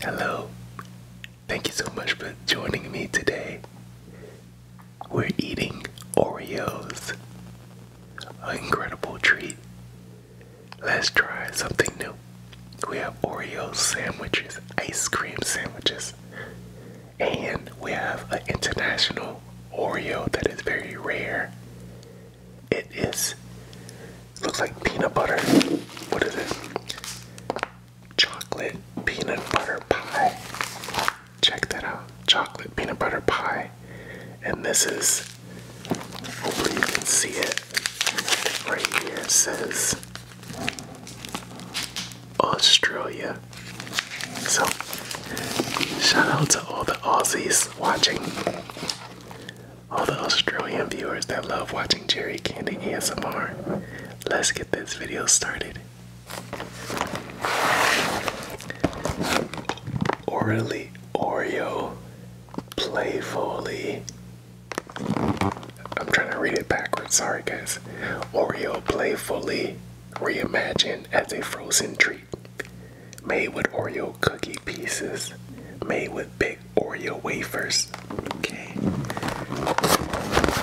Hello. Thank you so much for joining me today. We're eating Oreos. An incredible treat. Let's try something new. We have Oreo sandwiches, ice cream sandwiches, and we have an international Oreo that is very rare. It is looks like peanut butter. What is it? Chocolate peanut butter pie. Check that out. Chocolate peanut butter pie. And this is hopefully you can see it. Right here it says Australia. So shout out to all the Aussies watching all the Australian viewers that love watching Jerry Candy ASMR. Let's get this video started. Orally Oreo Playfully. I'm trying to read it backwards, sorry guys. Oreo Playfully reimagined as a frozen treat made with Oreo cookie pieces, made with big Oreo wafers. Okay,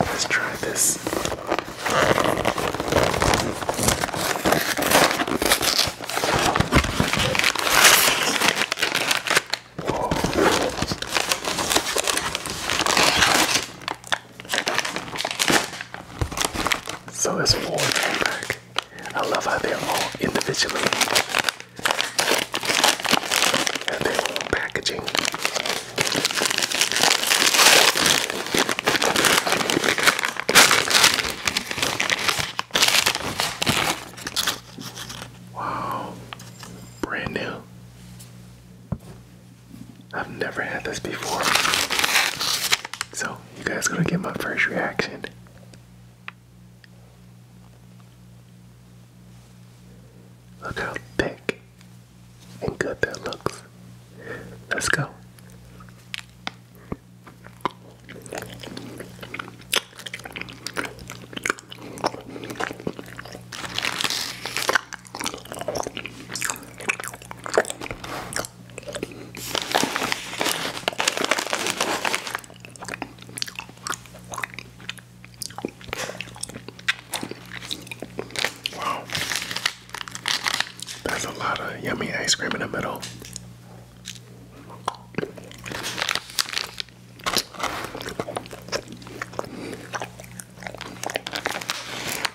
let's try this. So it's four back. I love how they're all individually have their packaging. Wow, brand new. I've never had this before. So you guys gonna get my first reaction? Look how thick and good that looks. Let's go. Wow. That's a lot of yummy ice cream in the middle.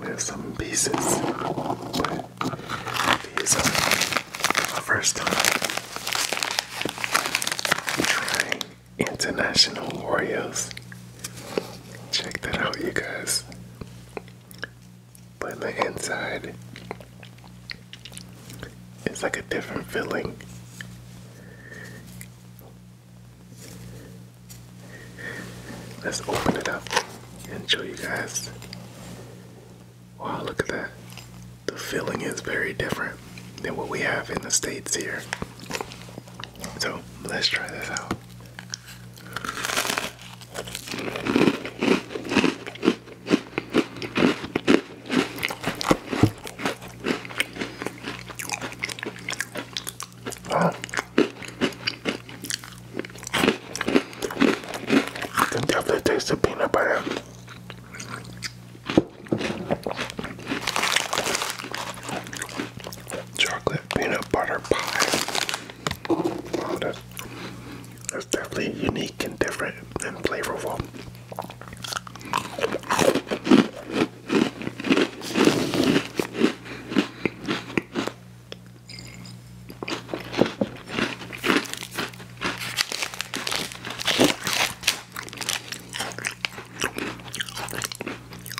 We have some pieces, but these are the first time trying international Oreos. Check that out, you guys but the inside, it's like a different filling. Let's open it up and show you guys. Wow, look at that. The filling is very different than what we have in the States here. So let's try this out. I can definitely taste the peanut butter. Chocolate peanut butter pie. Wow, that's definitely unique and different and flavorful.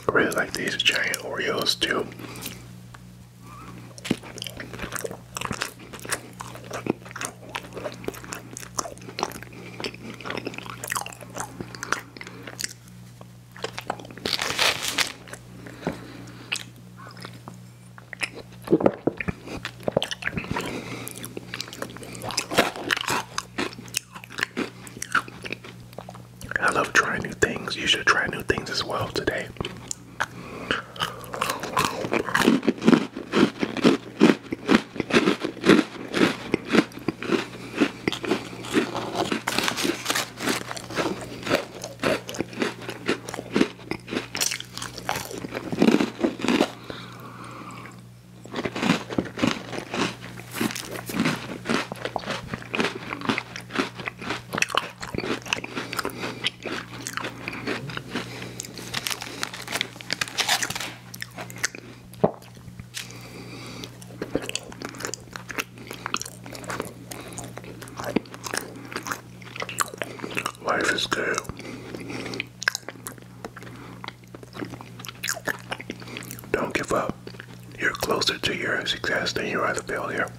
I really like these giant Oreos too. I love trying new things. You should try new things as well today. Life is good. Don't give up. You're closer to your success than you are to failure.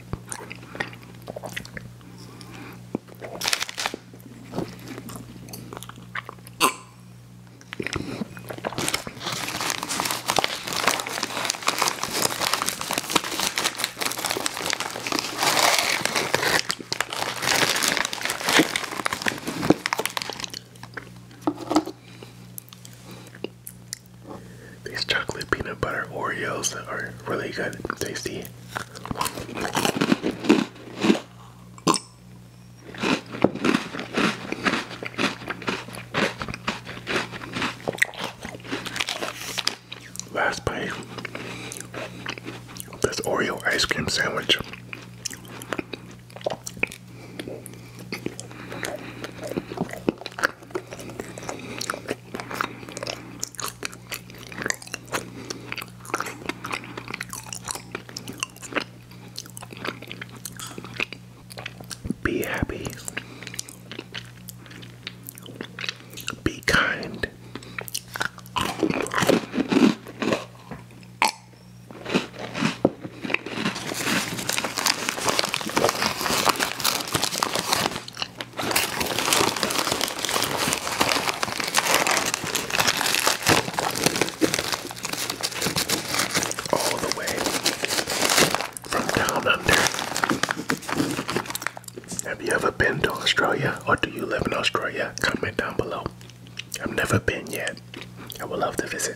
These chocolate peanut butter Oreos are really good and tasty. Last bite this Oreo ice cream sandwich. Be happy. Be kind mind. All the way from down under. Have you ever been to Australia or do you live in Australia? Comment down below. I've never been yet. I would love to visit.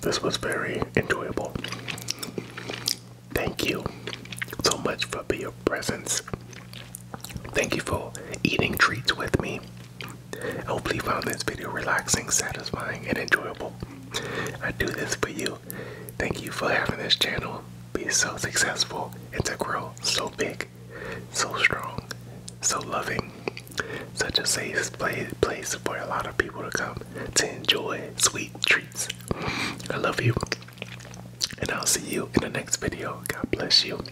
This was very enjoyable. Thank you so much for your presence. Thank you for eating treats with me. I hope you found this video relaxing, satisfying, and enjoyable. I do this for you. Thank you for having this channel be so successful and to grow so big, so strong, so loving such a safe place for a lot of people to come to enjoy sweet treats. I love you, and I'll see you in the next video. God bless you.